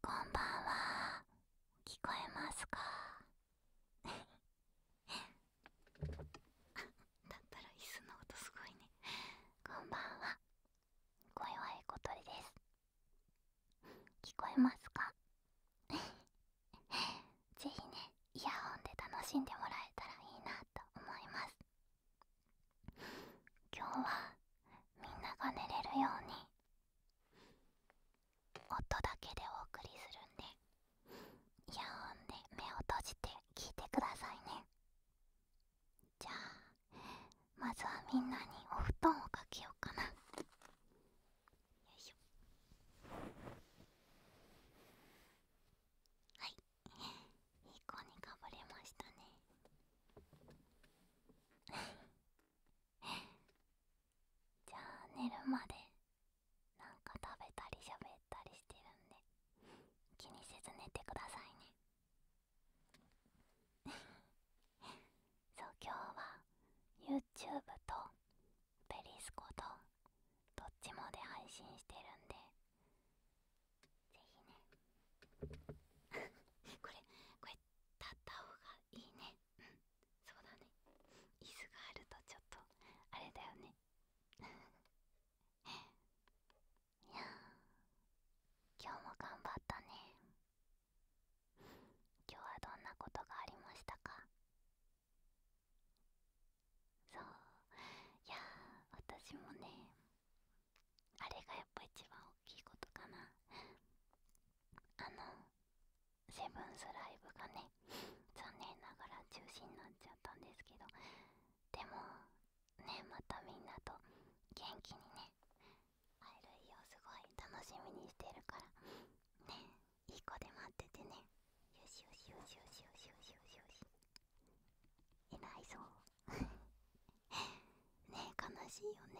こんばんは聞こえますか だったら椅子の音すごいねこんばんは小岩い小鳥です聞こえますか ぜひねイヤホンで楽しんでもらえたらいいなと思います今日はみんなが寝れるように音だけでお送りするんでイヤホで目を閉じて聞いてくださいねじゃあまずはみんなにお布団をかけようかなよいしょはいいい子にかぶれましたね じゃあ寝るまでなんか食べたりしゃべったりしてるんで気にせず寝てくださいね そう今日は YouTube とペリスコとどっちもで配信してるんでぜひね 立った方がいいねうんそうだね椅子があるとちょっとあれだよね いや今日も頑張ったね今日はどんなことがありましたかそういや私もねあれがやっぱ一番大きいことかなあのセブンスライブがね残念ながら中止になっちゃったんですけどでもねまたみんなと元気にね会える日をすごい楽しみにしてるからねいい子で待っててねよしよしよしよしよしよしよしいないぞねえ悲しいよね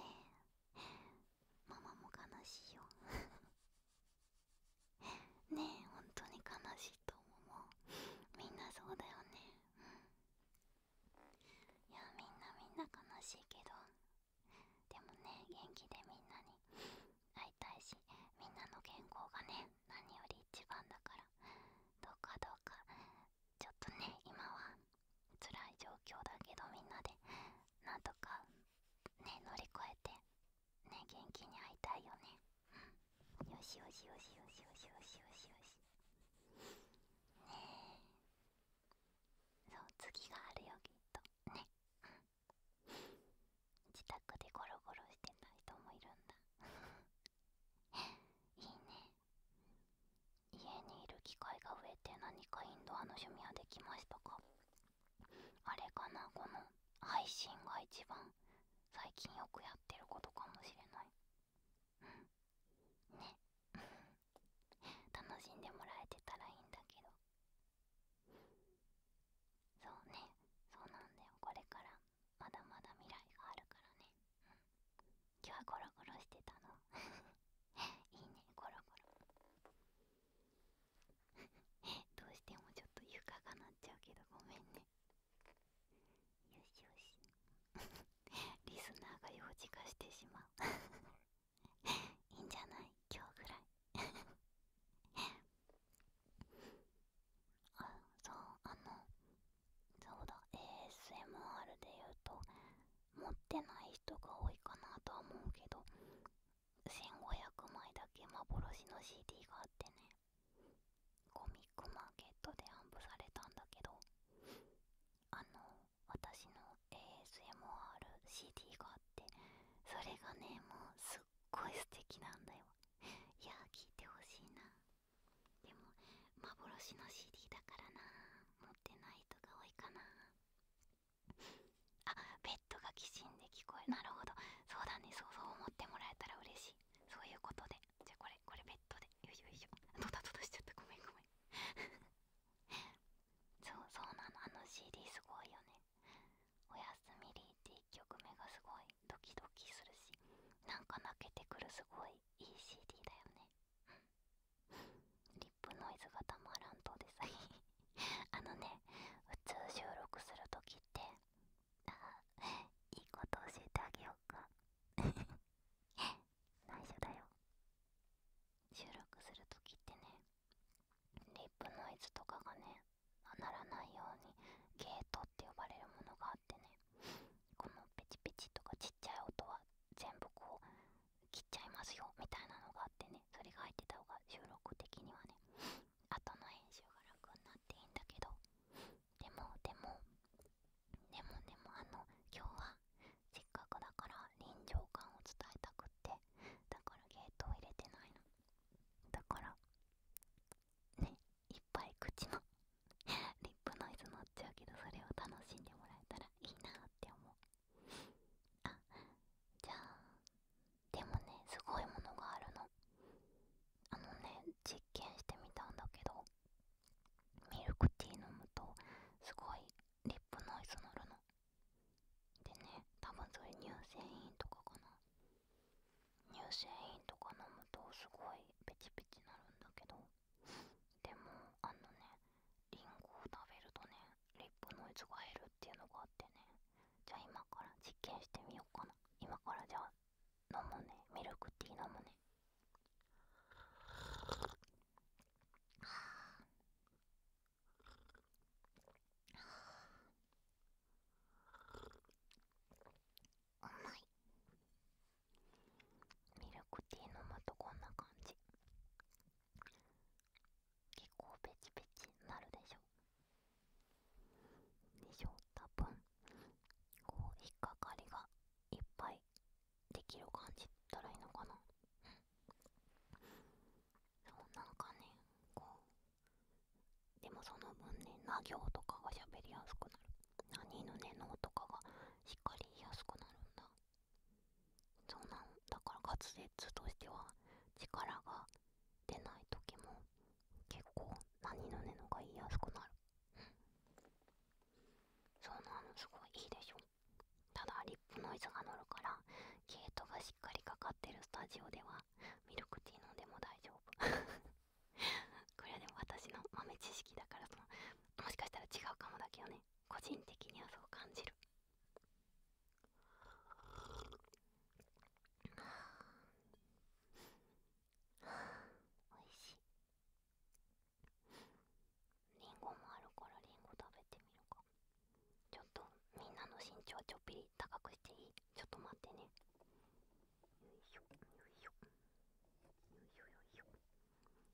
ママも悲しいよねえ本当に悲しいと思うみんなそうだよねうんいやみんなみんな悲しいけどでもね元気でみんなに会いたいしみんなの健康がね何より一番だからどうかどうかちょっとね今は辛い状況だけどみんなでなんとかね乗り越えてね元気に会いたいよね、よしよしよしよしよしよしよしねえそう次があるよきっとね、うん、自宅でゴロゴロしてた人もいるんだいいね家にいる機会が増えて何かインドアの趣味はできましたかあれかなこの配信が一番最近よくやってることかもしれないうんね楽しんでもらえてたらいいんだけどそうねそうなんだよこれからまだまだ未来があるからね、今日はゴロゴロしてたの いいねゴロゴロ どうしてもちょっと床がなっちゃうけどごめんねよしよし リスナーが幼児化してしまういいんじゃない今日ぐらいあそうあのそうだ ASMR で言うと持ってない人が多いかなとは思うけど1500枚だけ幻の CD があってねコミックマーケットでアンプされたんだけどあの私の ASMRCD があってそれがねもうすっごい素敵なんだよいやー聞いてほしいなでも幻の CD だからな持ってない人が多いかなあベッドがきしんで聞こえなるほどそうだねそうそう思ってもらえたら嬉しいそういうことでじゃこれこれベッドでよいしょよいしょドタドタしちゃったごめんごめん そうそうなのあの CD すごいよね「おやすみリー」って1曲目がすごいドキドキするしなんか泣けてくるすごいいい CD だよねリップノイズがたまらんとでさ あのね普通収録するときってああいいこと教えてあげようか 内緒だよ収録するときってねリップノイズとかがねならないようにゲートって呼ばれるものがあってねこのペチペチとかちっちゃい音は全部こう切っちゃいますよみたいなのがあってねそれが入ってた方が収録的にはね後の編集が楽になっていいんだけどでもでもでもでもあの今日はせっかくだから臨場感を伝えたくってだからゲートを入れてないのだからねいっぱい口のリップノイズ乗っちゃうけどそれを楽しんでもらえたらいいなって思うあじゃあでもねすごいものがあるのあのね実験してみたんだけどミルクティー飲むとすごいリップノイズ乗るのでね多分それ乳製品とかかな乳製品とか飲むとすごいペチペチなるんだけどでもあのねリンゴを食べるとねリップのイズが減るっていうのがあってねじゃあ今から実験してみようかな今からじゃあ飲むねミルクティー飲むねはははあ。あ。あ。うまいミルクティー飲むとこんな感じ結構ペチペチなるでしょでしょ多分こう引っかかりがいっぱいできる感じったらいいのかなうん。そうなんかねこうでもその分ねな行とかが喋りやすくなる何のね脳とかがしっかりやすくなるんだそうなの。だから滑舌としては力が出ない時も結構何のねのが言いやすくなるそうなのすごいいいでしょただリップノイズが乗るから毛糸がしっかりかかってるスタジオではミルクティー飲んでも大丈夫 これはでも私の豆知識だからそもしかしたら違うかもだけどね個人的にはそう感じるあおいしいりんごもあるからりんご食べてみるかちょっとみんなの身長ちょっぴり高くしていいちょっと待ってねよいしょよいしょよいしょよいしょ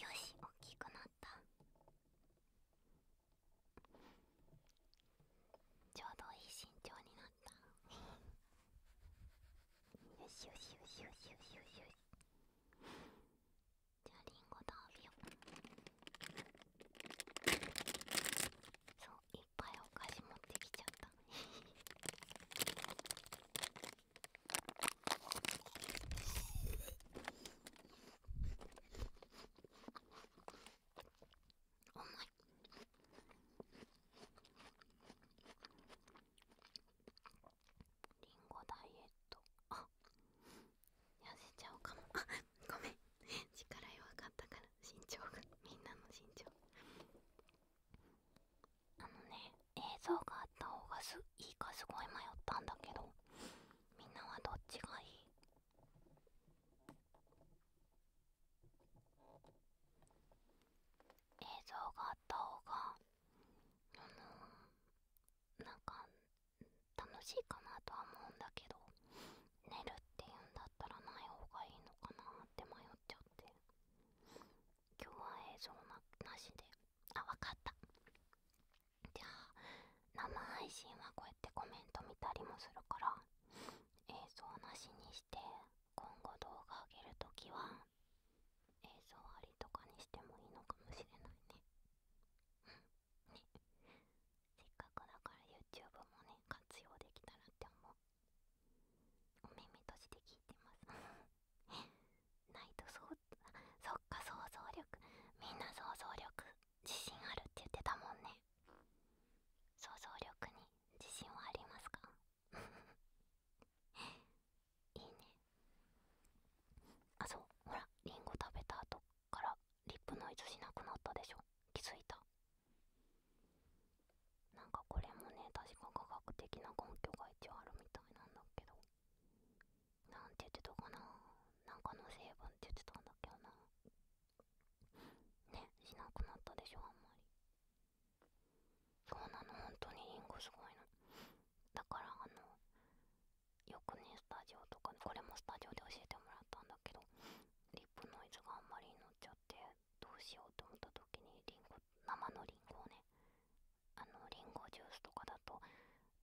よいしょ。よしおっきくなったちょうどいい身長になった よしよしよしよしよしよしよしじゃあリンゴ食べようそういっお菓子持ってきちゃった。重い。リンゴダイエット痩せちゃうかもごめん力弱かったから身長がみんなの身長あのね映像があった方がいいかすごい迷ったんだけどみんなはどっちがいい映像があった方があのなんか楽しいかなとは思うんだけど寝るっていうんだったらない方がいいのかなって迷っちゃって今日は映像ななしであわかったじゃあ生配信はこうやってコメント見たりもするから映像なしにして今後動画上げるときは映像ありとかにしてもいいのかもしれないねうんねせっかくだから YouTube もね活用できたらって思うお耳閉じて聞いてます ないとそうそっか想像力みんな想像力自信あるって言ってたもんね想像力に自信はありますか いいねあそうほらりんご食べた後からリップノイズしなくなったでしょ気づいたなんかこれもね確か科学的な根拠が一応あるみたいなんだけどなんて言ってたかななんかの成分って言ってたんだけどなねしなくなったでしょあんまりそうなの本当にインゴすごいのだからあのよくねスタジオとかこれもスタジオで教えてもらったんだけどリップノイズがあんまりに乗っちゃってどうしようと思った時にリンゴ生のリンゴをねあのリンゴジュースとかだと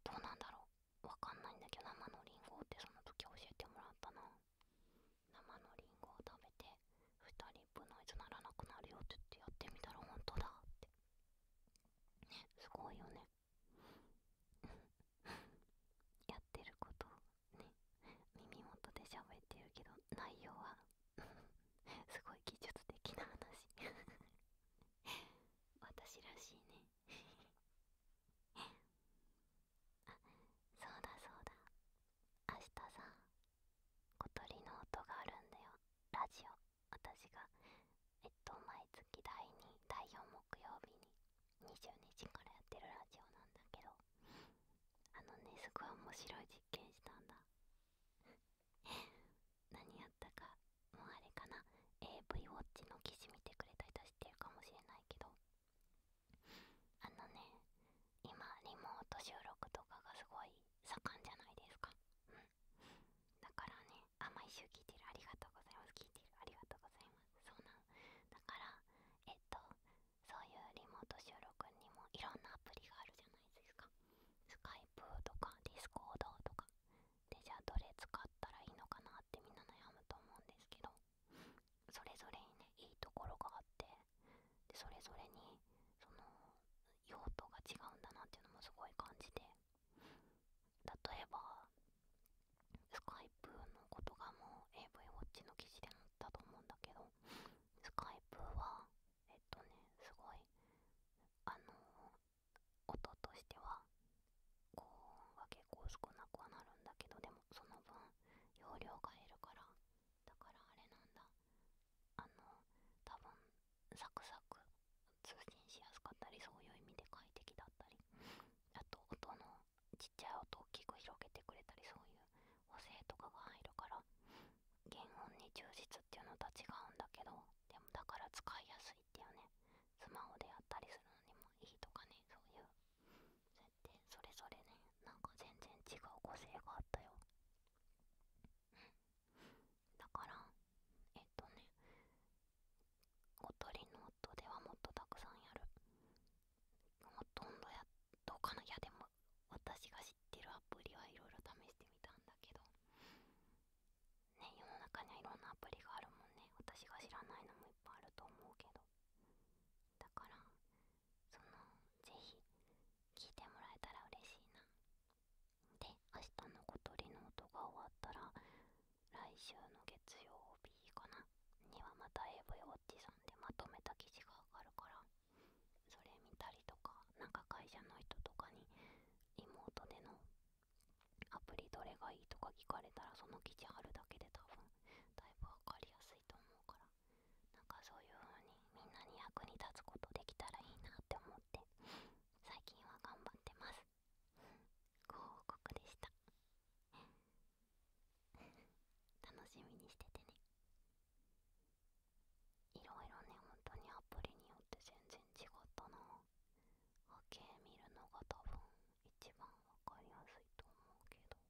どうなんだろうわかんないんだけど生のリンゴってその時教えてもらったな生のリンゴを食べて2人分のいつならなくなるよって言ってやってみたら本当だってねすごいよね やってることね耳元で喋ってるけど内容は すごい技術的な話 私らしいね あそうだそうだ明日さ小鳥の音があるんだよラジオ私がえっと毎月第2第4木曜日に22時からやってるラジオなんだけどあのねすごい面白い実験したんだ 何やったかもうあれかな AV ウォッチの記事見てくれた人知ってるかもしれないけどあのね今リモート収録とかがすごい盛んじゃないですかうんだからねあ毎週聞いてるありがとうございます聞いてるありがとうございますそうなんだからえっとそういうリモート収録にもいろんなアプリがあるじゃないですかスカイプとかディスコードとかでじゃあどれ使ったらいいのかなってみんな悩むと思うんですけどそれぞれにねいいところがあってそれぞれにその用途が違うんだなっていうのもすごい感じて例えばスカイプのことがもう AV ウォッチの記事でもあったと思うんだけどスカイプはえっとねすごいあの音としては高音は結構少なくはなるんだけどでもその分容量が減るからだからあれなんだあの多分サクサク通信しやすかったりそういう意味で快適だったりあと音のちっちゃい音を大きく広げてくれたりそういう補正とかが入るから原音に充実っていうのとは違うんだけどでもだから使いやすいっていうねスマホでやったりするのにもいいとかねそういう設定それぞれねなんか全然違う個性があったよだからえっとね小鳥の音ではもっとたくさんやるほとんどやどうかないやでも私が知ってるアプリはいろいろ試してみたんだけどね世の中にはいろんなアプリがあるもんね私が知らないのもいっぱいあると思うけどだからそのぜひ聞いてもらえたら嬉しいなで明日の小鳥の音が終わったら来週の月曜日かなにはまた AV ウォッチさんでまとめた記事が上がるからそれ見たりとかなんか会社の人とかにリモートでのアプリどれがいいとか聞かれたらその記事貼るだけで多分だいぶわかりやすいと思うからなんかそういうふうにみんなに役に立つことできたらいいなって思って最近は頑張ってますご報告でした楽しみにしててねいろいろね本当にアプリによって全然違ったな波形見るのが多分一番わかりやすいと思うけどね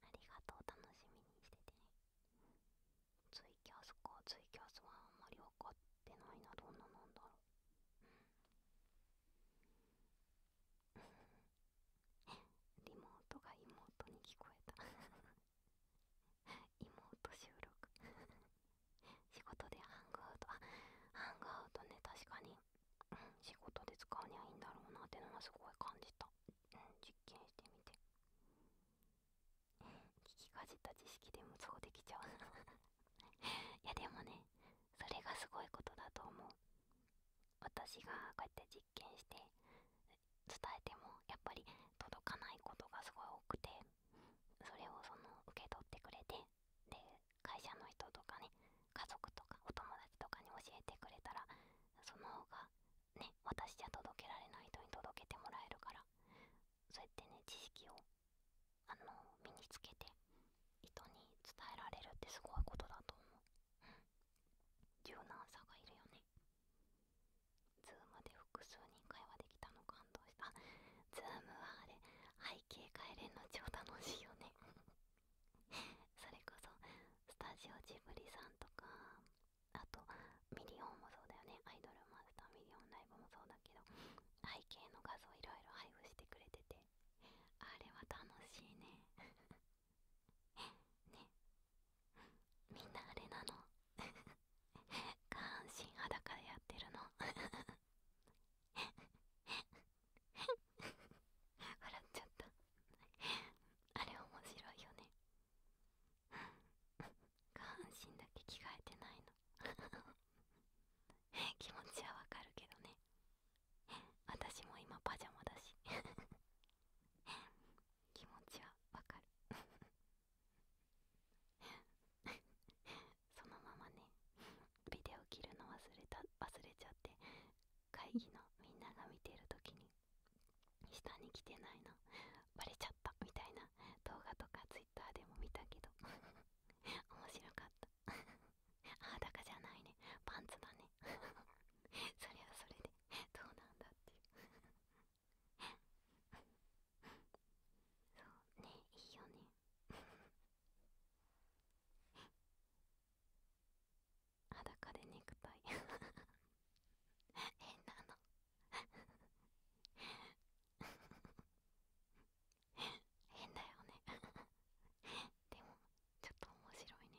ありがとう楽しみにしててねツイキャスかツイキャスはあんまり分かってないなどんなもんだろうリモートが妹に聞こえた 妹収録仕事でハングアウトあハングアウトね確かに、仕事で使うにはいいんだろうなってのはすごい感じた、うん、実験してみて聞きかじった知識でもそうできちゃう いやでもねそれがすごいことだと思う私がこうやって実験して伝えてもやっぱり届かないことがすごい多くてそれをその受け取ってくれてで会社の人とかね家族とかお友達とかに教えてくれたらその方がね私じゃ届けられない人に届けてもらえるからそうやってね知識をあの身につけて人に伝えられるってすごいことだと思う。柔軟さがいるよねズームで複数人会話できたの感動したズームはあれ背景変えれんの超楽しいよねそれこそスタジオジブリさんとかあとミリオンもそうだよねアイドルマスターミリオンライブもそうだけど背景の画像いろいろ配布してくれててあれは楽しいねねみんなあれなの 下半身裸でやってるの 笑っちゃったあれ面白いよね下半身だけ着替えてないの 気持ちはわかるけどね 私も今パジャマだし 気持ちはわかる そのままねビデオ切るの忘れた忘れちゃって会議のみんなが見てる時に下に来てないのバレちゃったみたいな動画とか Twitter でも見たけど面白かった裸じゃないねパンツだね それはそれでどうなんだっていうそうねいいよね裸でネクタイ変なの変だよねでもちょっと面白いね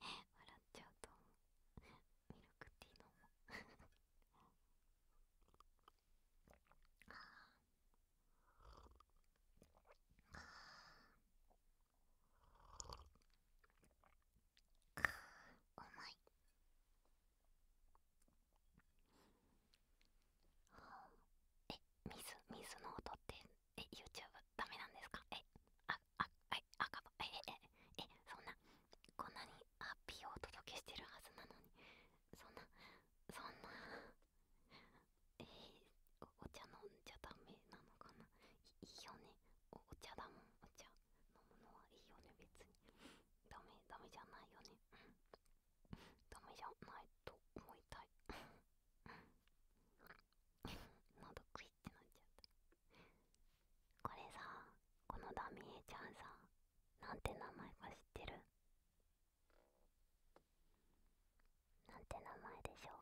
笑っちゃうと思うミルクティー飲もうああああうまいはあ、え、水、水の音って、え、YouTube ダメなんですかえ、あ、あ、え、赤ええ、え、え、そんな、こんなにハッピーをお届けしてるはずなのに、そんな、そんな、えー、お茶飲んじゃダメなのかないいよねお茶だもん、お茶。飲むのはいいよね、別に。ダメ、ダメじゃないよね。ダメじゃないと思いたい 喉クイってなっちゃったこれさこのダミエちゃんさなんて名前か知ってるなんて名前でしょう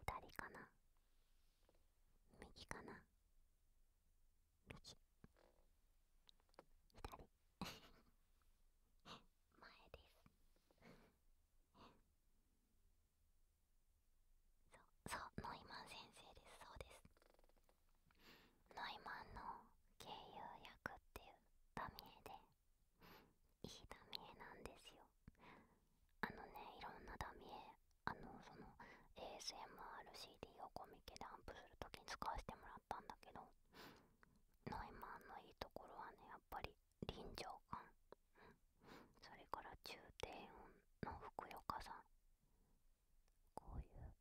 左かな右かな右左前ですそうそうノイマン先生ですそうですノイマンの経由役っていうダミエでいいダミエなんですよあのねいろんなダミあのその ASMRCD をコミケでアンプする時に使わせてもらったんだけどノイマンのいいところはねやっぱり臨場感それから中低音のふくよかさこういう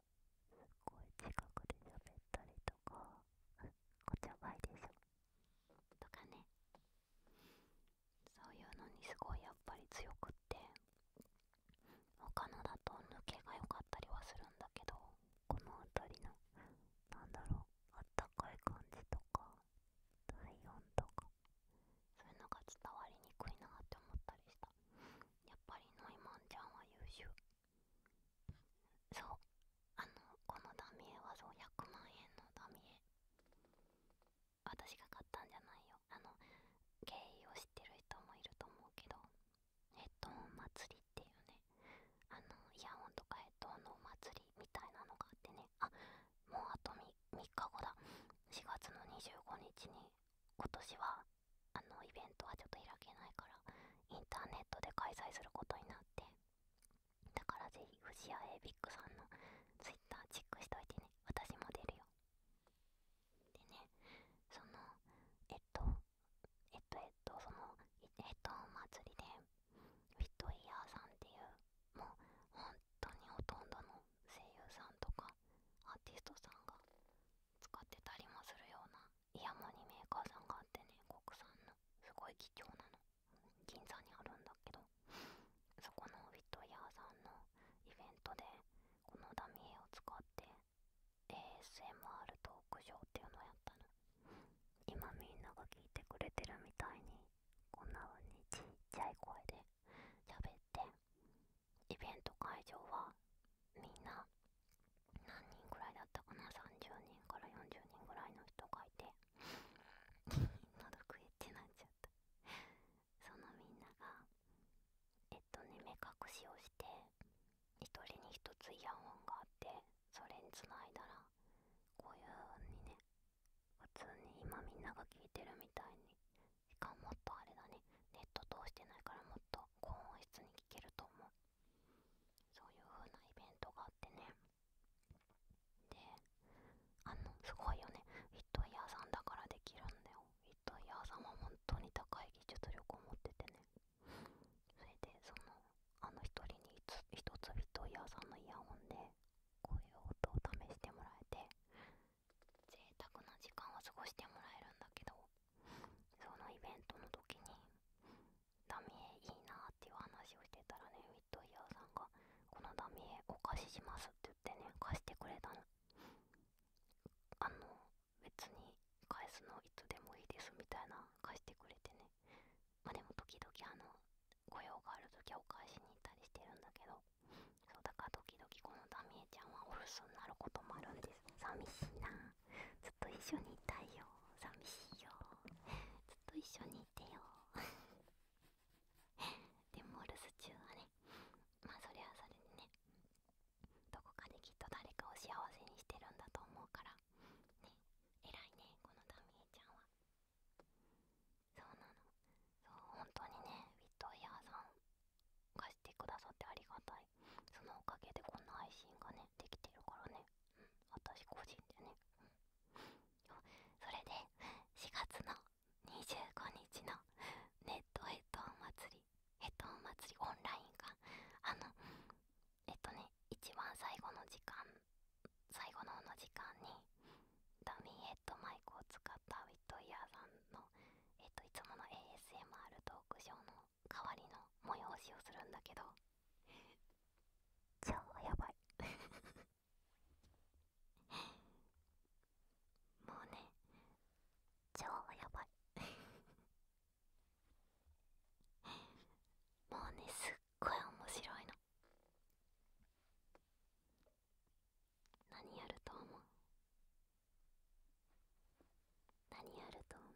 すっごい近くで喋ったりとかこっちは倍です。とかねそういうのにすごいやっぱり強くって他のだと抜けが良かったりはするんだけどこの辺りのなんだろうあったかい感じとか体温とかそういうのが伝わりにくいなって思ったりしたやっぱりノイマンちゃんは優秀そうあのこのダミエはそう100万円のダミエ私が買ったんじゃないよあの経緯を知ってる人もいると思うけどヘッドホン祭りっていうねあのイヤホンとかヘッドホンのお祭りみたいなのがあってねあもうあと 3, 日後だ4月の25日に今年はあのイベントはちょっと開けないからインターネットで開催することになってだからぜひ藤谷エイビックさんの Twitter チェックしといてね私も出るよでねそのえっとえっとえっとそのえっとお祭りでフィットイヤーさんっていうもう本当にほとんどの声優さんとかアーティストさんが使ってたりもするようなイヤモニメーカーさんがあってね国産のすごい貴重なの銀座にあるんだけどそこのフィットイヤーさんのイベントでこのダミエを使って ASMR トークショーっていうのやったの今みんなが聞いてくれてるみたいにこんな風にちっちゃい声で喋ってイベント会場はみんな何人ぐらいだったかな30人から40人ぐらいの人がいて喉食えってなっちゃったそのみんながえっとね目隠しをして1人に1つイヤホンがあってそれにつないだらこういう風にね普通に今みんなが聞いてるみたいにしかももっとあれだねネット通してないからもっと高音質に聞けると思うそういう風なイベントがあってねであのすごいよねフィットイヤーさんだからできるんだよフィットイヤー様も当に高い技術力を持っててねそれでそのあの一人に一つビットイヤーさんのイヤホンでこういう音を試してもらえて贅沢な時間を過ごしてもらえるんだけどそのイベントの時にダミエいいなっていう話をしてたらねウィットイヤーさんが「このダミエお貸しします」って言ってね貸してくれたのあの別に返すのいつでもいいですみたいな貸してくれてねまあでも時々あの雇用がある時はお返しに行ったりしてるんだけどそうだから時々このダミエちゃんはお留守になることもあるんです寂しいなずっと一緒にいたいよ寂しいよずっと一緒にいてよ でもお留守中はねまあそれはそれでねどこかできっと誰かを幸せにしてるんだと思うからね偉いねこのたミえちゃんはそうなのそう本当にねウィットイヤーさん貸してくださってありがたいそのおかげでこんな配信がねできてるからねうん私個人でねうんそれで4月の25日のネットヘッド祭りえっとお祭りオンラインかあのえっとね一番最後の時間最後のの時間にダミーヘッドマイクを使ったウィットイヤーさんの、えっと、いつもの ASMR トークショーの代わりの催しをするんだけど超やばいもうね超やばい もうねすっごい面白いの何やると思う何やると思う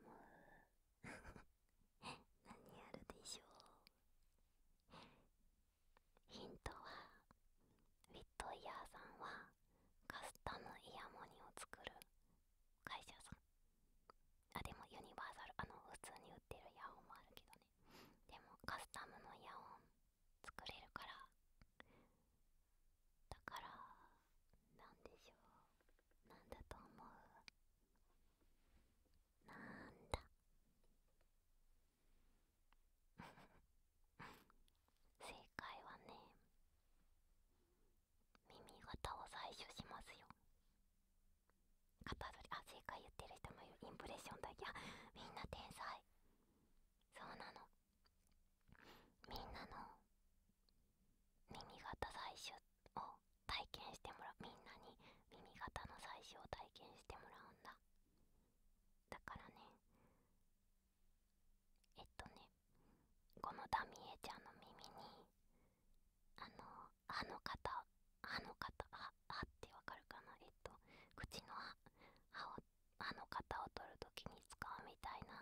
何やるでしょうヒントはウィットイヤーさんはカスタムイヤモニを作る会社さんあでもユニバーサルあの普通に売ってるイヤホンもあるけどねでもカスタムのイヤホン作れるからだからなんでしょうなんだと思うなんだ正解はね耳型を採取しますよ型取りあ正解言ってる人もいるインプレッションだけあみんな天才そうなのみんなの耳型採取を体験してもらうみんなに耳型の採取を体験してもらうんだだからねえっとねこのダミエちゃんの耳にあの歯の型歯の型歯歯ってわかるかなえっと口の歯をの型を取るときに使うみたいな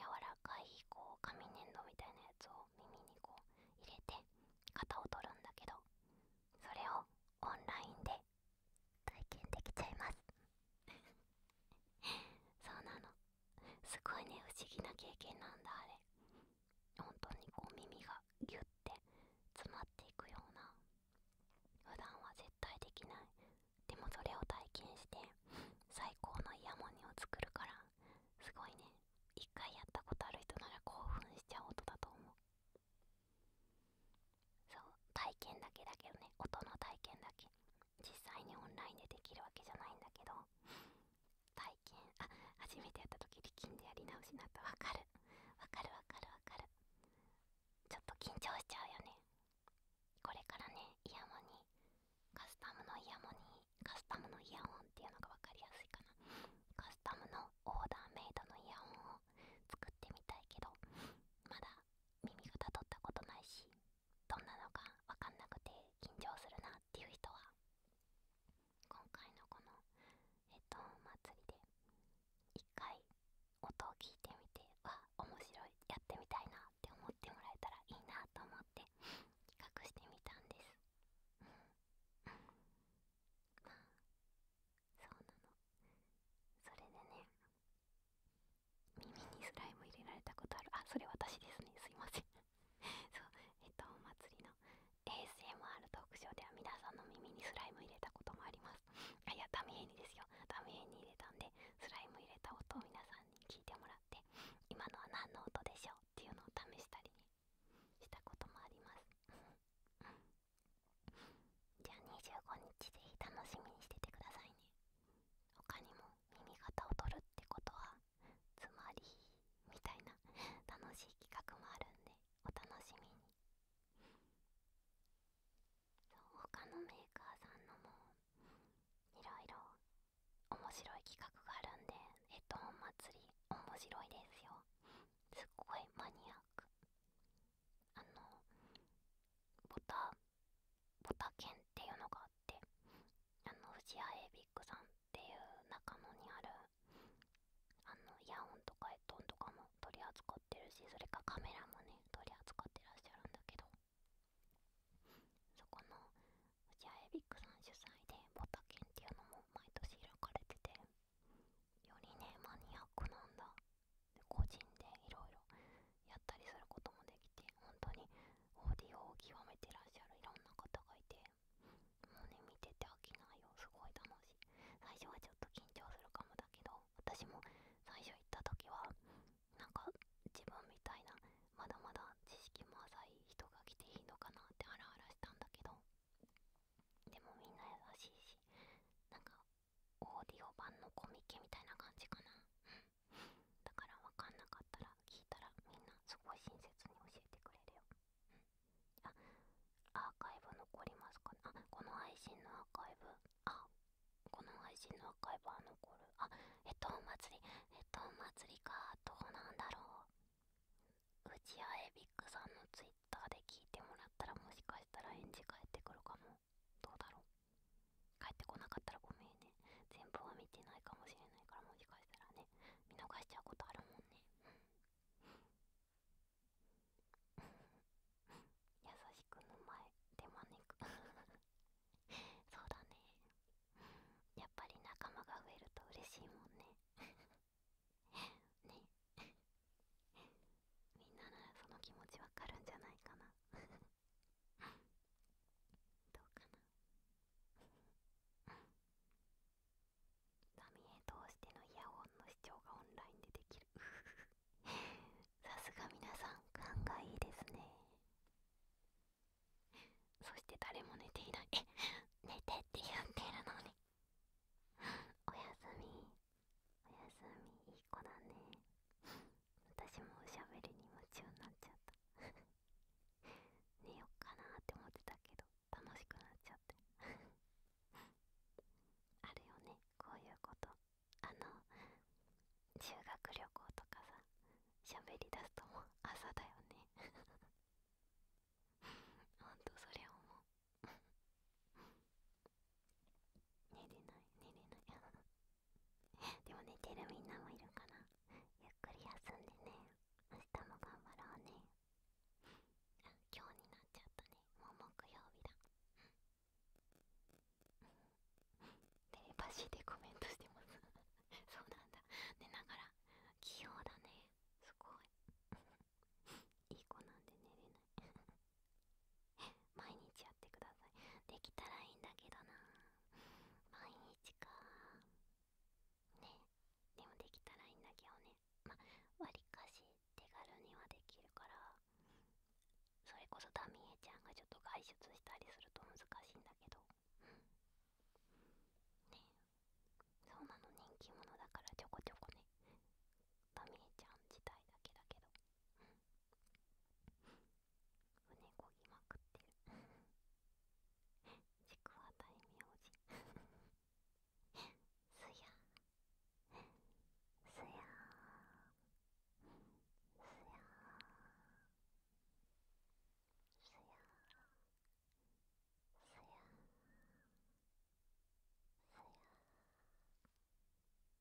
柔らかいこう紙粘土みたいなやつを耳にこう入れて型を取るんだけどそれをオンラインで体験できちゃいますそうなのすごいね不思議な経験なんだあれ本当にこう耳がギュッて詰まっていくような普段は絶対できないでもそれを体験して最高のイヤモニを作るからすごいね一回やったことある人なら興奮しちゃう音だと思うそう体験だけだけどね音の体験だけ実際にオンラインでできるわけじゃないんだけど体験あ初めてやった時力んでやり直しなったわかるわかるわかるわかるちょっと緊張しちゃうよねこれからねイヤモニカスタムのイヤモニカスタムのイヤホンっていうのが分かりやすいかなカスタムのオーダーメイドのイヤホンを作ってみたいけどまだ耳がたどったことないしどんなのか分かんなくて緊張するなっていう人は今回のこのえっと祭りで一回音を聞いてみては面白いやってみたいなって思ってもらえたらいいなと思って企画してみたんですまあそうなのそれでね耳にスライム入れられたことあるあそれ私ですねすいません そうえっとお祭りの ASMR トークショーでは皆さんの耳にスライム入れたこともありますあいやダミエにですよダミエに入れたんでスライム入れた音を皆さんに聞いてもらって今のは何の音でしょうっていうのを試したりしたこともありますじゃあ25日ぜひ楽しみにしててくださいね他にも耳型を取るってこはつまりみたいな楽しい企画もあるんでお楽しみに他のメーカーさんのもいろいろ面白い企画があるんでヘッドホン祭り面白いですよすっごいマニアックあのボタボタケンっていうのがあってあの藤谷エビックさんっていう中野にあるあのイヤホンとかヘッドホンとかも取り扱ってるしそれかカメラもね取り扱ってらっしゃるんだけどそこの藤谷エビックさん主催でボタケンっていうのも毎年開かれててよりねマニアックなんだ個人でいろいろやったりすることもできて本当にオーディオを極めてらっしゃるいろんな方がいてもうね見てて飽きないよすごい楽しい最初はちょっと緊張するかもだけど私も最初行った時はなんか自分みたいなまだまだ知識も浅い人が来ていいのかなってハラハラしたんだけどでもみんな優しいしなんかオーディオ版のコミケみたいな感じかなうんだからわかんなかったら聞いたらみんなすごい親切に教えてくれるよ、うん、アーカイブ残りますかねあこの配信のアーカイブあこの配信のアーカイブは残るあえっとお祭りえっとお祭りかどうなんだろううちやエビックさんのツイッターで聞いてもらったらもしかしたら返事返ってくるかもどうだろう帰ってこなかったらごめんね全部は見てないかもしれないからもしかしたらね見逃しちゃうことあるもんね優しくの前手招く そうだねやっぱり仲間が増えると嬉しいもんね ねみんなならその気持ちわかるんじゃないかなどうかな波へ通してのイヤホンの視聴がオンラインでできる さすが皆さん勘がいいですねそして誰も寝ていない 寝てって言ってるのにおやすみおやすみいい子だね私もおしゃべりに夢中になっちゃった 寝よっかなーって思ってたけど楽しくなっちゃって あるよねこういうことあの修学旅行とかさしゃべりだすともう朝だよね ほんとそれゃ思う寝れない寝れないでも寝てるみんなもいるかな。ゆっくり休んでね明日も頑張ろうねあ今日になっちゃったねもう木曜日だテレパシーでコメントしてます そうなんだ寝ながら器用だねすごいいい子なんで寝れない毎日やってくださいできたらいいんだけどな毎日かねでもできたらいいんだけどねまわりかし手軽にはできるからそれこそダミエちゃんがちょっと外出したりすると難しいんだけどうんねそうなの人気者だからちょこちょこねダミエちゃん自体だけだけどうん胸こぎまくってるちくわ大名人 すやすやすやすやすやすや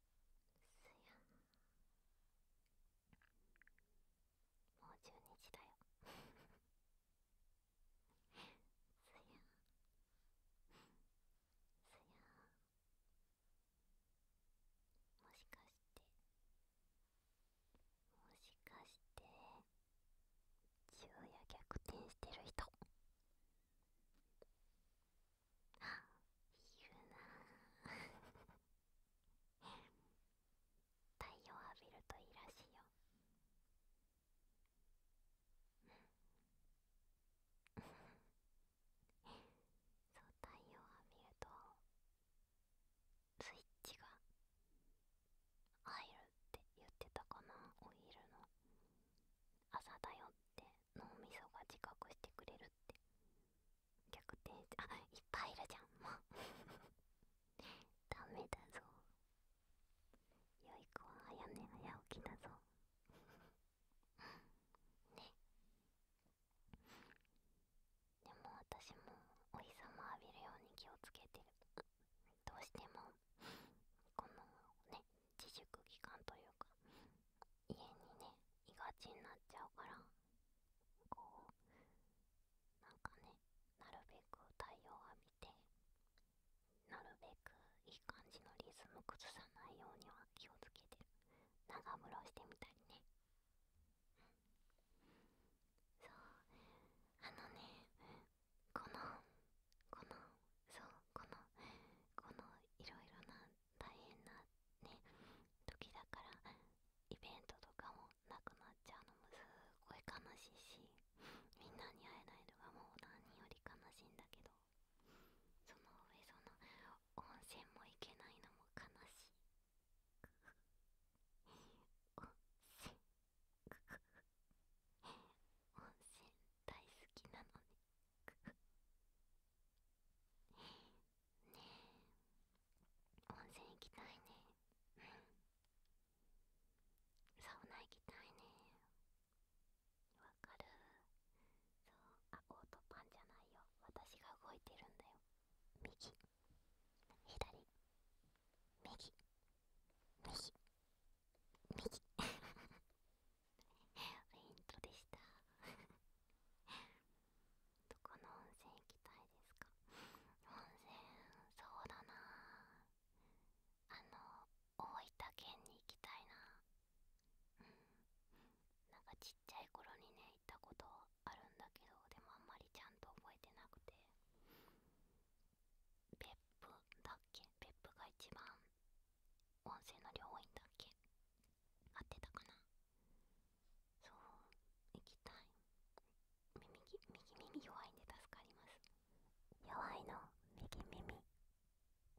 すやんもう中日だよすやんすやんもしかしてもしかして昼夜逆転してる人いるな 太陽浴びるといいらしいよそう太陽浴びるとスイッチが入るって言ってたかなお昼の朝だよって脳みそが自覚してくれるって逆転してあいっぱいいるじゃんもう ダメだぞよい子は早寝早起きだぞ ねでも私もお日様浴びるように気をつけてるどうしてもこのね自粛期間というか家にねいがちになっちゃうからこうなんかねなるべく太陽浴びてなるべくいい感じのリズム崩さないようには気をつけて長風呂してみたりねそうあのねこのこのそうこのこのいろいろな大変なね時だからイベントとかもなくなっちゃうのもすごい悲しいしみんなに会えないのがもう何より悲しいんだけどその上その温泉も行けないのも悲しい温泉温泉大好きなのにねえ温泉行きたいねうんサウナ行きたいねわかるそうあオートパンじゃないよ私が動いてるんだよ右左右右右フェ イントでしたどこの温泉行きたいですか温泉そうだなあの大分県に行きたいなうんなんかちっちゃい頃にね行ったことあるんだけどでもあんまりちゃんと覚えてなくてペップだっけペップが一番温泉の量多いんだっけ合ってたかなそう行きたい右右耳弱いんで助かります弱いの右耳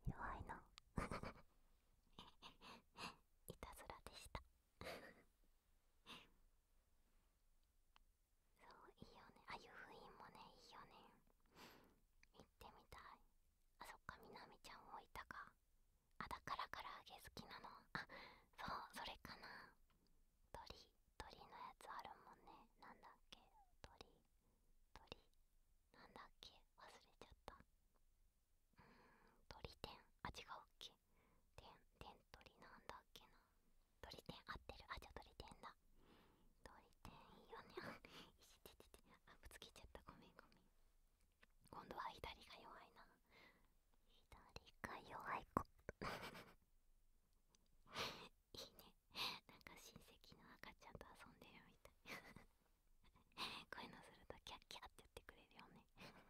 弱いのいたずらでしたそういいよねああい湯布院もねいいよね行ってみたいあそっかみなみちゃんもいたかあだから唐揚げ好きなのあそうそれかな鳥鳥のやつあるもんねなんだっけ鳥鳥なんだっけ忘れちゃったうん鳥天あ違うっけ天天鳥なんだっけな鳥天合ってるあじゃ鳥天だ鳥天いいよね いしちちちあぶつけちゃったごめんごめん今度は左が弱いな左が弱い子 いいねなんか親戚の赤ちゃんと遊んでるみたい こういうのするとキャッキャッて言ってくれるよねいいね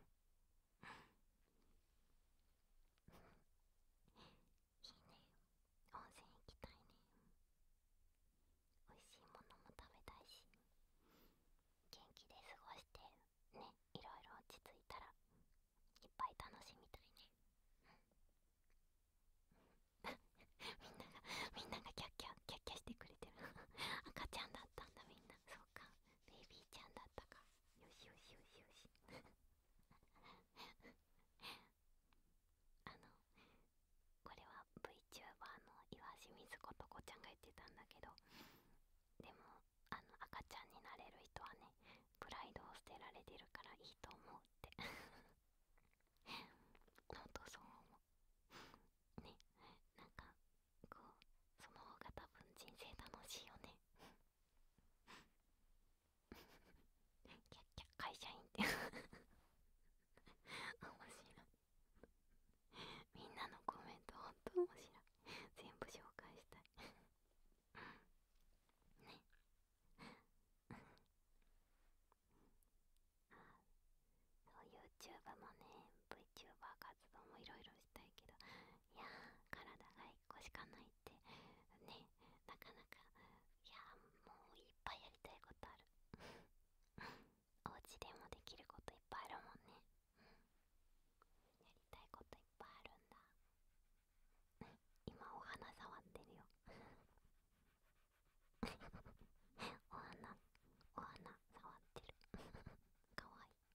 温泉行きたいね美味しいものも食べたいし元気で過ごしてねいろいろ落ち着いたらいっぱい楽しみたいね みんながみんながキャッキャキャッキャしてくれてる 赤ちゃんだったんだみんなそうかベイビーちゃんだったかよしよしよしよし あのこれは v VTuber の岩清水ことこちゃんが言ってたんだけどでもあの赤ちゃんになれる人はねプライドを捨てられてるからいいと思うってほんとそう思うねなんかこうその方が多分人生楽しいよね キャッキャ会社員ってあ、面白いみんなのコメントほんと面白い全部紹介したいねあそう YouTube もね VTuber 活動もいろいろしたいけどいや体が1個しかないってねなかなかいやもういっぱいやりたいことあるお家でもできることいっぱいあるもんね、やりたいこといっぱいあるんだ 今お花触ってるよ お花お花触ってる かわいい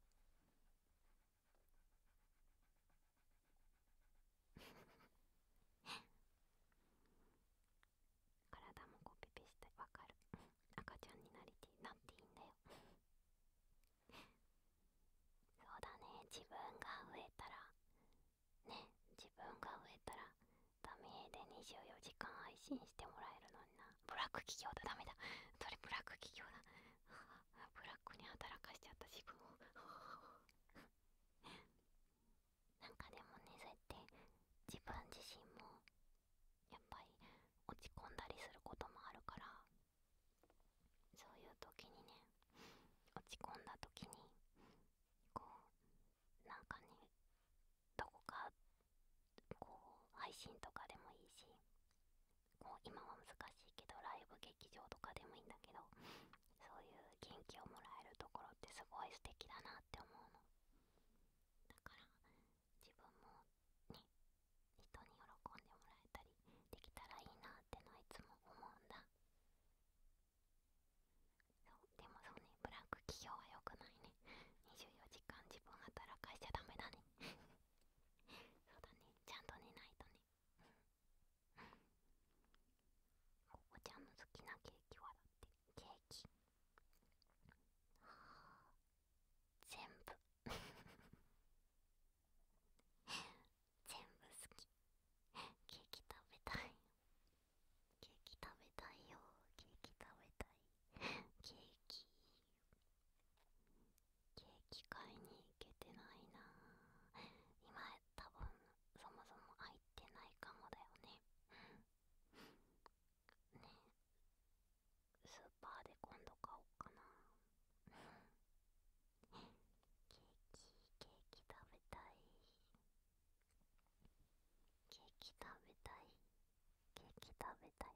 体もこうピピしてわかる赤ちゃんになりてなっていいんだよ そうだね自分が植えたらね自分が植えたらダメで24時間配信してもらえるのになブラック企業だダメだそれブラック企業だ ブラックに働かしちゃった自分を なんかでもねそうやって自分自身もやっぱり落ち込んだりすることもあるからそういう時にね落ち込んだ時にこうなんかねどこかこう配信とかでもいいしこう今は難しいけどライブ劇場とかでもいいんだけどそういう元気をもらえるところってすごい素敵だなって思うの自分もね人に喜んでもらえたりできたらいいなってのはいつも思うんだでもそうねプランク企業は良くないね24時間自分働かしちゃダメだね そうだねちゃんと寝ないとねここちゃんの好きなケーキはだってケーキ全部 全部好きケーキ食べたいケーキ食べたいよケーキ食べたいケーキケーキ買いに行けてないな今多分そもそも入ってないかもだよねねスーパーで今度買おうかなケーキケーキ食べたいケーキ食べたいケーキ食べたい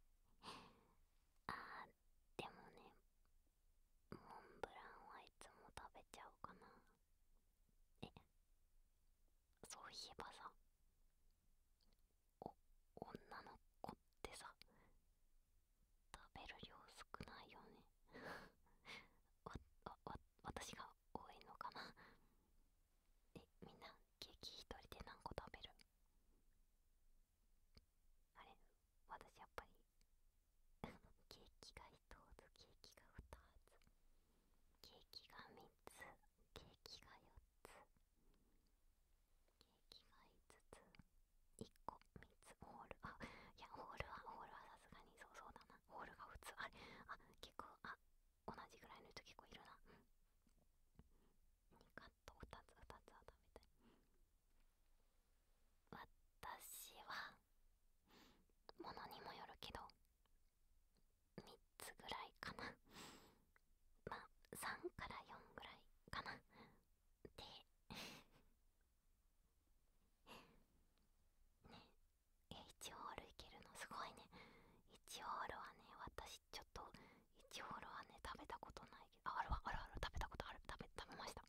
あーでもねモンブランはいつも食べちゃうかなえそういえばさお女の子ってさ食べる量少ないよね わわわ私が多いのかなえみんなケーキ一人で何個食べるあれ私やっぱり ケーキが一つケーキが二つケーキが三つケーキが4つケーキが5つ1個3つホールあいやホールはホールはさすがにそうそうだなホールが普通あれあ結構あ同じぐらいの人結構いるな2カット2つ2つは食べたい私はものにもよるけど3つぐらいかなまあ3から4ぐらいかなでねえ、1ホールいけるのすごいね1ホールはね私ちょっと1ホールはね食べたことないけああるあるある食べたことある食べ食べました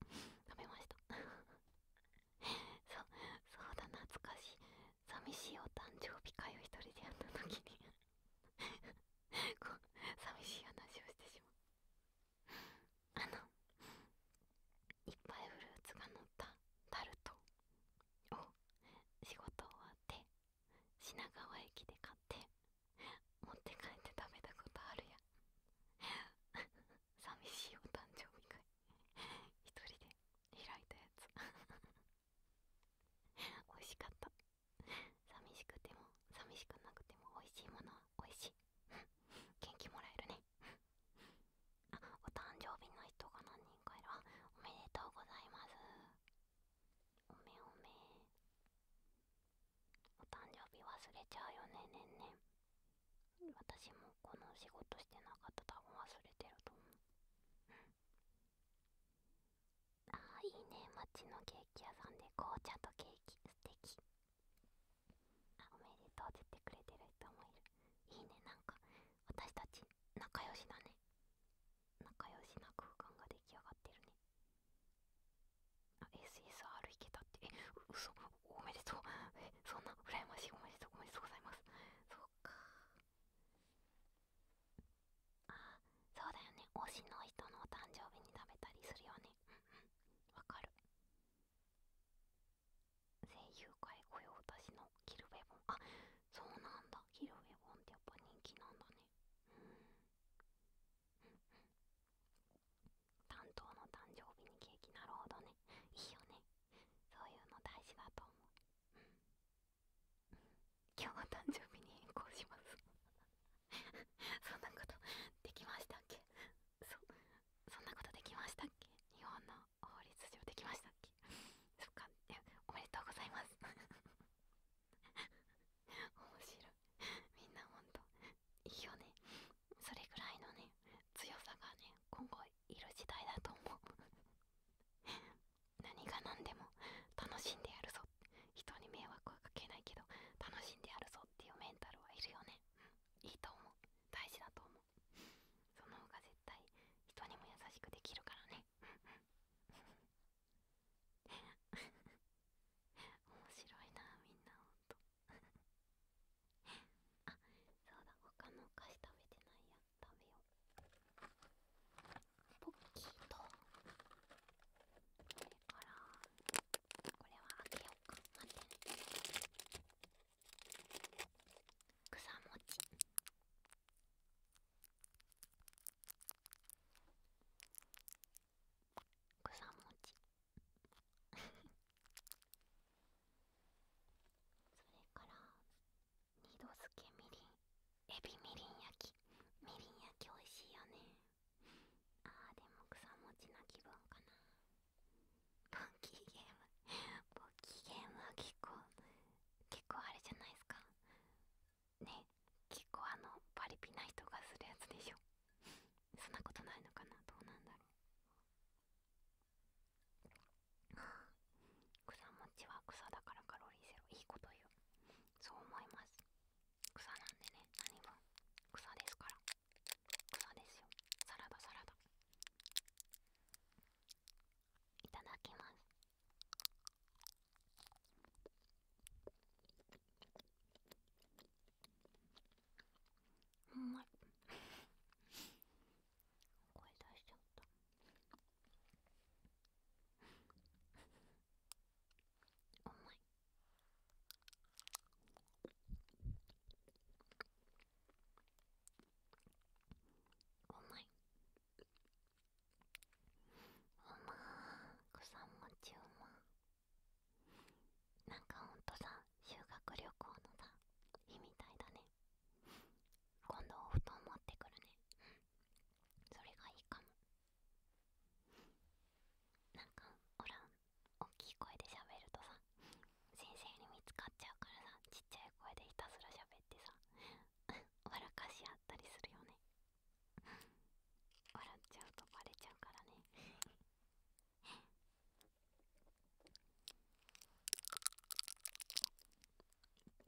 食べました そうそうだ懐かしい寂しいお誕生日会を一人でやった時に こう寂しい話をしてしまうあのいっぱいフルーツが乗ったタルトを仕事終わって品川駅で買って持って帰って食べたことあるや 寂しいお誕生日会一人で開いたやつ 美味しかった寂しくても寂しくなくても美味しいものは美味しい 元気もらえるね あお誕生日の人が何人かいるあおめでとうございますおめおめお誕生日忘れちゃうよねねんねん私もこの仕事してなかった多分忘れてると思うああ、いいね町のケーキ屋さんで紅茶とケーキ素敵あおめでとうって言ってくれてる人もいるいいねなんか私たち仲良しだね仲良しな空間が出来上がってるねあ SSR 行けたってえ嘘おめでとうえそんな羨ましいおめでとうおめでとうございますそっかあそうだよね推しの人のお誕生日に食べたりするよねうんわかる声優界雇用私のキルベボンあそうなんだキルベボンってやっぱ人気なんだねうん担当の誕生日にケーキなるほどねいいよねそういうの大事だと思う今日の誕生日に変更します そんなことできましたっけそそんなことできましたっけ日本の法律上できましたっけそっかおめでとうございます 面白いみんなほんといいよねそれぐらいのね強さがね今後いる時代だと思う何が何でも楽しんでやるぞ人に迷惑はかけないけど楽しんでやるぞっていうメンタルはいるよね、いいと思う大事だと思うその方が絶対人にも優しくできるからね面白いなみんなほんとあそうだ他のお菓子食べてないや食べようポッキーと それからこれはあけようか待ってね草餅草餅それから二度漬けみりんエビみりん焼きみりん焼きおいしいよねああ、でも草持ちな気分かなポッキーゲームポッキーゲームは結構結構あれじゃないですかね結構あのパリピな人がするやつでしょそんなことないのかなどうなんだろう草ちは草だからカロリーゼロいいこと言うそう思います草なんでね何分草ですから草ですよサラダサラダいただきますうまい声出しちゃったうまいおまいうまんも餅うまなんかほんとさ修学旅行のさ日みたいだね今度お布団持ってくるねそれがいいかもなんかほら大きい声でしゃべるとさ先生に見つかっちゃうからさちっちゃい声でひたすら喋ってさ笑かし合ったりするよね笑っちゃうとバレちゃうからね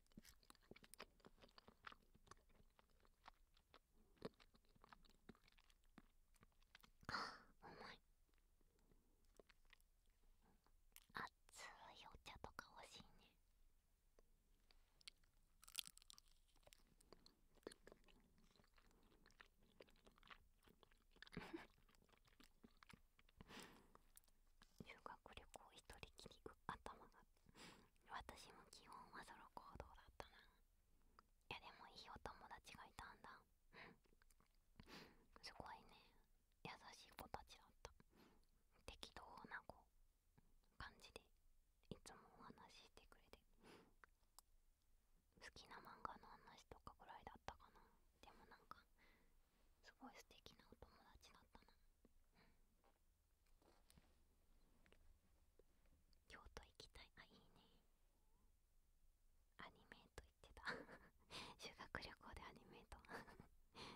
あ重い熱いお茶とか欲しいね 修学旅行一人きり頭が私も基本はソロ行動だったないやでもいいお友達がいたんだすごいね優しい子たちだった適当な子感じでいつもお話ししてくれて好きな漫画の話とかぐらいだったかなでもなんかすごい素敵なお友達だったな、京都行きたいあいいねアニメート行ってた 修学旅行でアニメート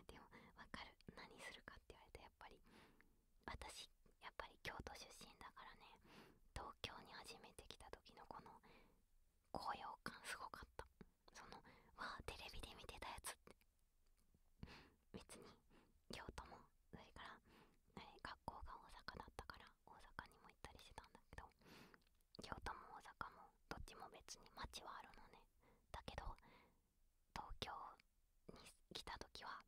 でもわかる何するかって言われて、やっぱり私やっぱり京都出身だからね東京に初めて来た時のこの高揚感すごかったそのわあテレビで見てたやつ別に京都もそれから、え学校が大阪だったから大阪にも行ったりしてたんだけど京都も大阪もどっちも別に街はあるのねだけど東京に来た時は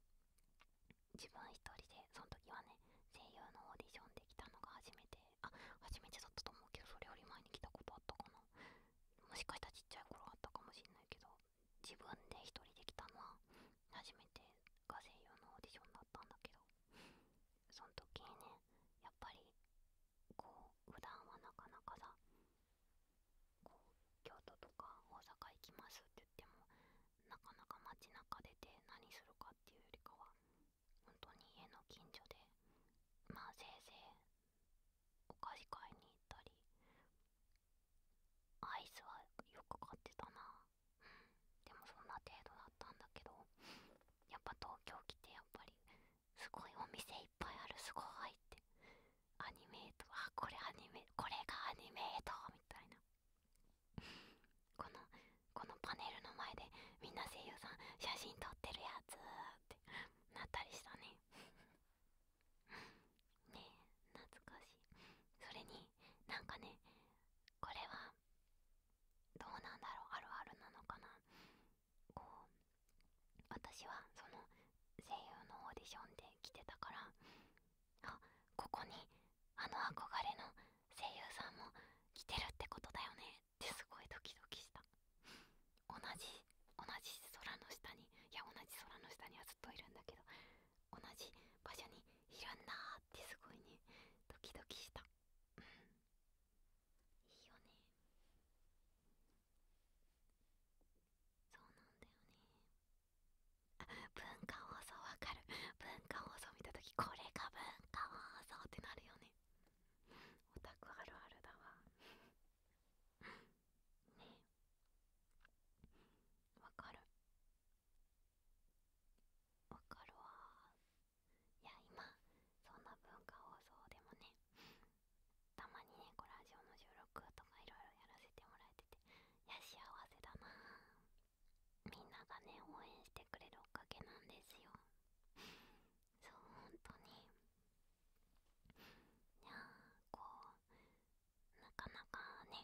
自分一人でその時はね声優のオーディションで来たのが初めてあ初めてだったと思うけどそれより前に来たことあったかなもしかしたらちっちゃい頃あったかもしんないけど自分で一人で来たのは初めてが星用のオーディションだったんだけどその時にねやっぱりこう普段はなかなかさこう京都とか大阪行きますって言ってもなかなか街中出て何するかっていうよりかは本当に家の近所でまあせいぜいお菓子買いに行ったりアイスはよく買ってたなでもそんな程度だったんだけどやっぱ東京来てやっぱりすごいお店いっぱいあるすごいってアニメートあこれアニメこれがアニメートみたいなこのこのパネルの前でみんな声優さん写真撮ってるやつってなったりしたねねえ懐かしいそれになんかねこれはどうなんだろうあるあるなのかなこう私はその声優のオーディションで来てたからあここにあの憧れの声優さんも来てるってことだよねってすごいドキドキした同じ同じ空の下にいや同じ空の下にはずっといるんだけど同じ場所にいるんだってすごいねドキドキした、いいよねそうなんだよねあ文化放送わかる文化放送見た時これが文化放送ってなるよねオタクあるあるだわねわかるわかるわいや今そんな文化放送でもねたまにねコラージュの収録とかいろいろやらせてもらえてていや幸せだなみんながね応援してくれるおかげなんですよそう本当にいやこうなかなかね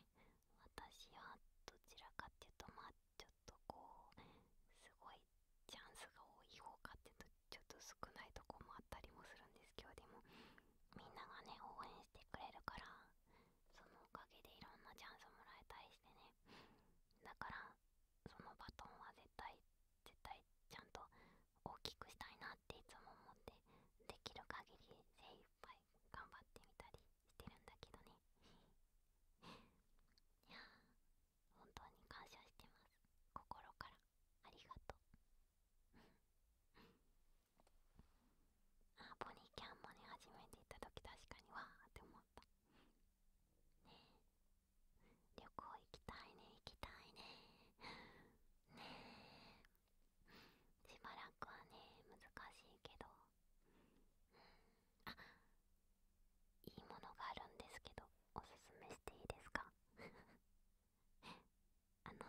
私はどちらかっていうとまあちょっとこうすごいチャンスが多い方かっていうとちょっと少ないとこもあったりもするんですけどでもみんながね応援してくれるからそのおかげでいろんなチャンスもらえたりしてねだからそのバトンは絶対絶対ちゃんと大きくしたいなっていつも思ってできる限り精一杯頑張ってみたりしてるんだけどね いや本当に感謝してます心からありがとう あポニーキャンもね初めて行った時確かにわーって思ったねえ旅行行きたいね行きたいねしばらくはね難しいけど、うん、いいものがあるんですけどおすすめしていいですか あの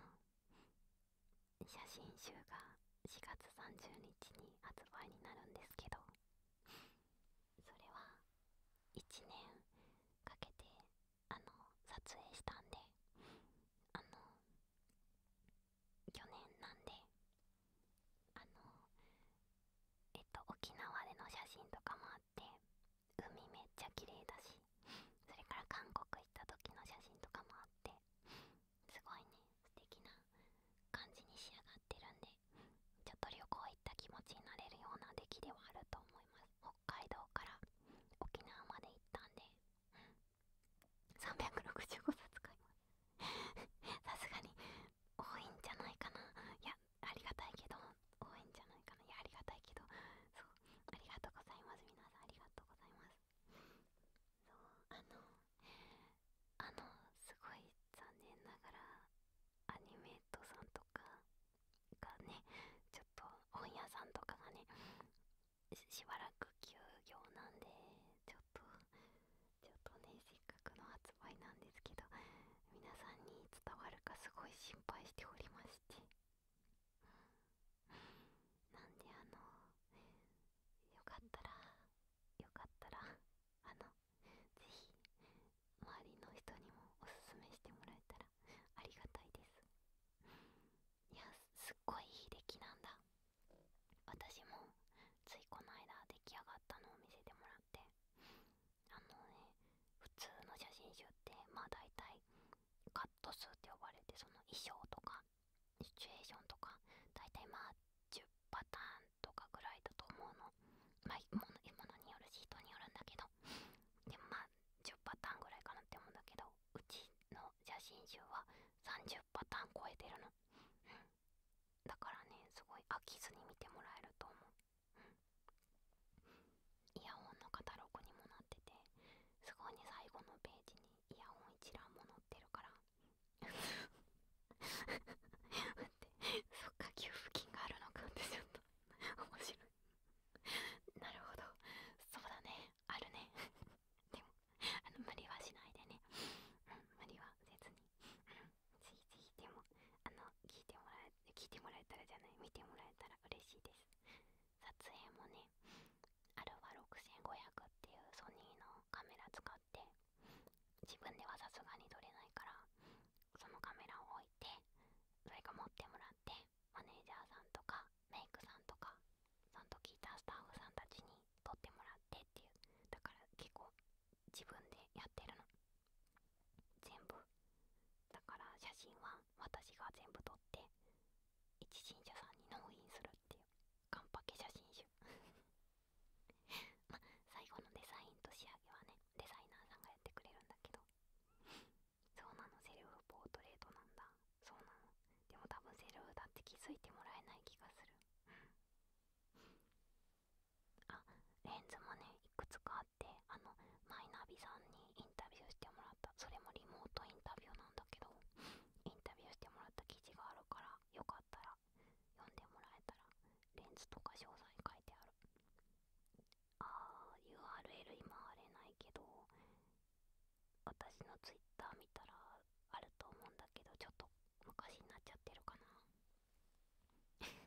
写真集が4月30日に発売になるんですけどそれは1年かけてあの撮影したんであの去年なんであのえっと沖縄での写真とかもあって海めっちゃ綺麗だしそれから韓国行った時の写真とかもあってすごいね素敵な感じに仕上がってるんでちょっと旅行行った気持ちになれるような出来ではあると思います北海道から沖縄まで行ったんで365冊買いますさすがに多いんじゃないかないやありがたいけど多いんじゃないかないやありがたいけどそうありがとうございます皆さんありがとうございますそうあのあのすごい残念ながらアニメートさんとかがねちょっと本屋さんとかがねししばらく休業なんでちょっとちょっとねせっかくの発売なんですけど皆さんに伝わるかすごい心配しておりましてなんであのよかったらよかったらあのぜひ周りの人にもおすすめしてもらえたらありがたいですいやすっごいいい出来なんだ私もついこの間出来上がったのを見せてもらってあのね普通の写真集ってまあ大体カット数って呼ばれてその衣装とかシチュエーションとか大体まあ10パターンとかぐらいだと思うのまあものによるし人によるんだけどでもまあ10パターンぐらいかなって思うんだけどうちの写真集は30パターン超えてるの、だからねすごい飽きずに見てもらえると思う、うん、イヤホンのカタログにもなっててすごいね最後のページにイヤホン一覧も載ってるから 待ってそっか給付金があるのかってちょっと面白い なるほどそうだねあるね でもあの無理はしないでね、う無理はせずに、うん、ぜひでもあの聞いてもらえ聞いてもらえたらじゃない見てもらえたら嬉しいです撮影もねアルフ6500っていうソニーのカメラ使って自分ではさすがに撮れないからそのカメラを置いてそれか持ってもらってマネージャーさんとかメイクさんとかその時いたスタッフさんたちに撮ってもらってっていうだから結構自分でやってるの全部だから写真は私が全部撮って一信者さんに納品するっていうカンパケ写真集 ま最後のデザインと仕上げはねデザイナーさんがやってくれるんだけどそうなのセルフポートレートなんだそうなのでも多分セルフだって気づいてもらえない気がするあレンズもねいくつかあってあのマイナビさんにインタビューしてもらったそれもリモートインタビューなんだけどインタビューしてもらった記事があるからよかったら読んでもらえたらレンズとか詳細書いてあるあー URL 今あれないけど私の Twitter 見たらあると思うんだけどちょっと昔になっちゃってるかな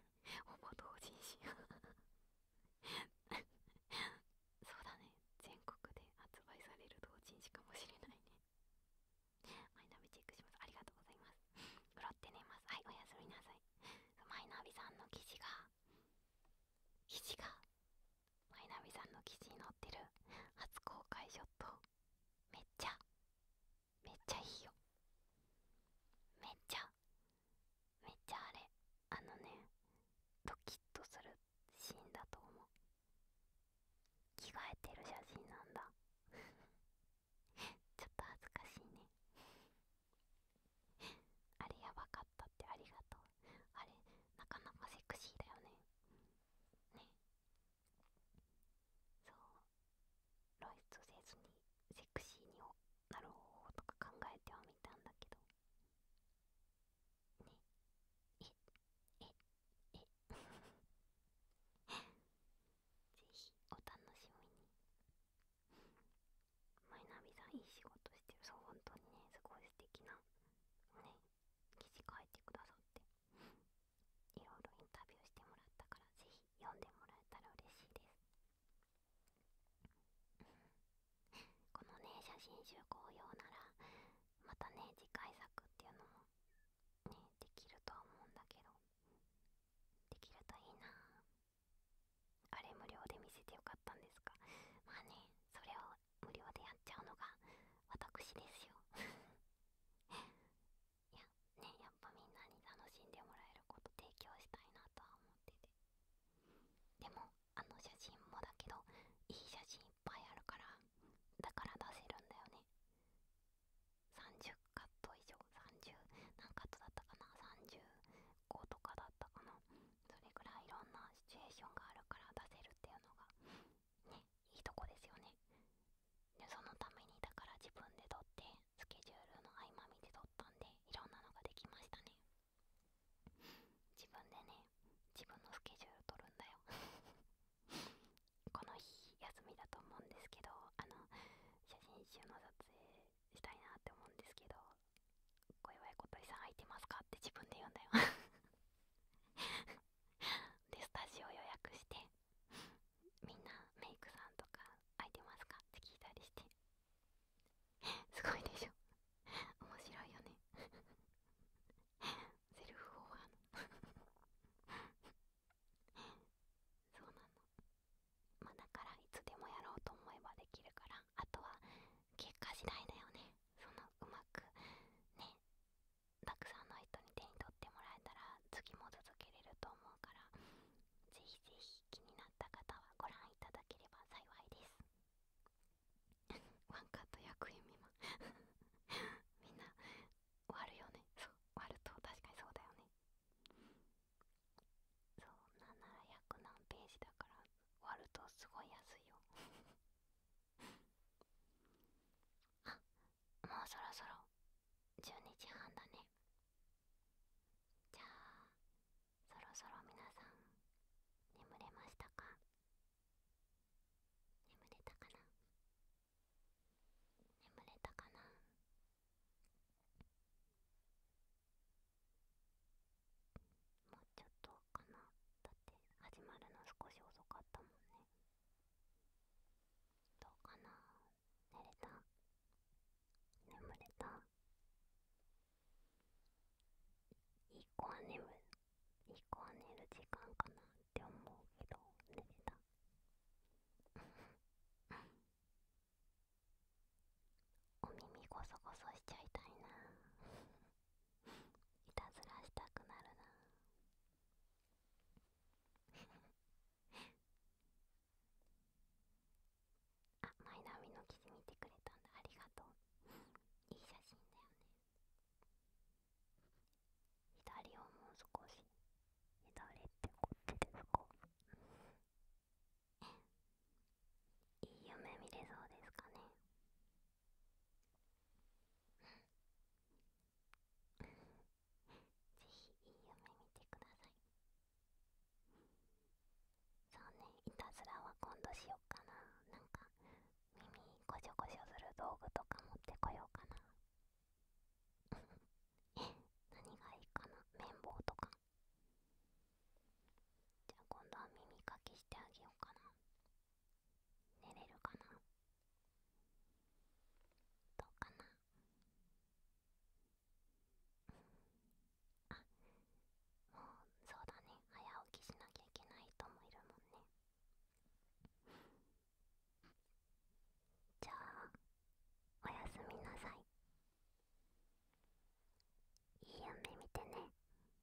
ほぼ同人誌が そうだね全国で発売される同人誌かもしれないねマイナビチェックしますありがとうございますうろって寝ますはいおやすみなさいマイナビさんの記事が記事がマイナミさんの記事に載ってる初公開ショットめっちゃめっちゃいいよめっちゃめっちゃあれあのねドキッとするシーンだと思う着替えてる写真なんだ ちょっと恥ずかしいね あれやばかったってありがとうあれなかなかセクシーだよねねそう露出せずにセクシーになる方法とか考えてはみたんだけどねえええ ぜひお楽しみにマイナビさんいい仕事してるそう本当にねすごい素敵なね記事書いてくださっていろいろインタビューしてもらったからぜひ読んでもらえたら嬉しいですこのね写真集公用ならまたね次回作っていうのもねできるとは思うんだけどできるといいなあれ無料で見せてよかったんですか まあねそれを無料でやっちゃうのが私ですよ いやねやっぱみんなに楽しんでもらえること提供したいなとは思っててでもあの写真もだけどいい写真いっぱいあるからだから出せるんだよね30カット以上30何カットだったかな30校とかだったかなそれぐらいいろんなシチュエーションがあるから出せるっていうのがねいいとこですよねでそのためにだから自分で撮ってスケジュールの合間見て撮ったんでいろんなのができましたね自分でね自分のスケジュール撮るんだよ この日休みだと思うんですけどあの写真集の撮影したいなって思うんですけど小祝小鳥さん空いてますかって自分で言うんだよ でスタジオ予約してみんなメイクさんとか空いてますかって聞いたりして すごいでしょ面白いよね セルフオファーのそうなのまだからいつでもやろうと思えばできるからあとは結果次第だよねそのうまくねたくさんの人に手に取ってもらえたら次も続けれると思うからぜひぜひ気になった方はご覧いただければ幸いですワンカット役員見ま みんな終わるよねそう終わると確かにそうだよねそんななら100何ページだから割るとすごい安いよ あもうそろそろ12時半だねじゃあそろそろ皆さん眠れましたか眠れたかな眠れたかなもうちょっとかなだって始まるの少し遅かったもんねどうかな寝れた眠れたいい子は眠るいい子は寝る時間かなって思うけど寝れたお耳ゴソゴソしちゃいたいな いたずらしたくなるな あマイナビの記事見てくれたんだありがとう いい写真だよね左をもう少し左ってこって。ですかいい夢見れそうですかねぜひいい夢見てくださいそうねいたずらは今度しよっかななんか耳こしょこしょする道具とか持ってこようかな 何がいいかな綿棒とかじゃあ今度は耳かきしてあげようかな寝れるかなどうかなあもうそうだね早起きしなきゃいけない人もいるもんねじゃあおやすみなさいいい夢見てね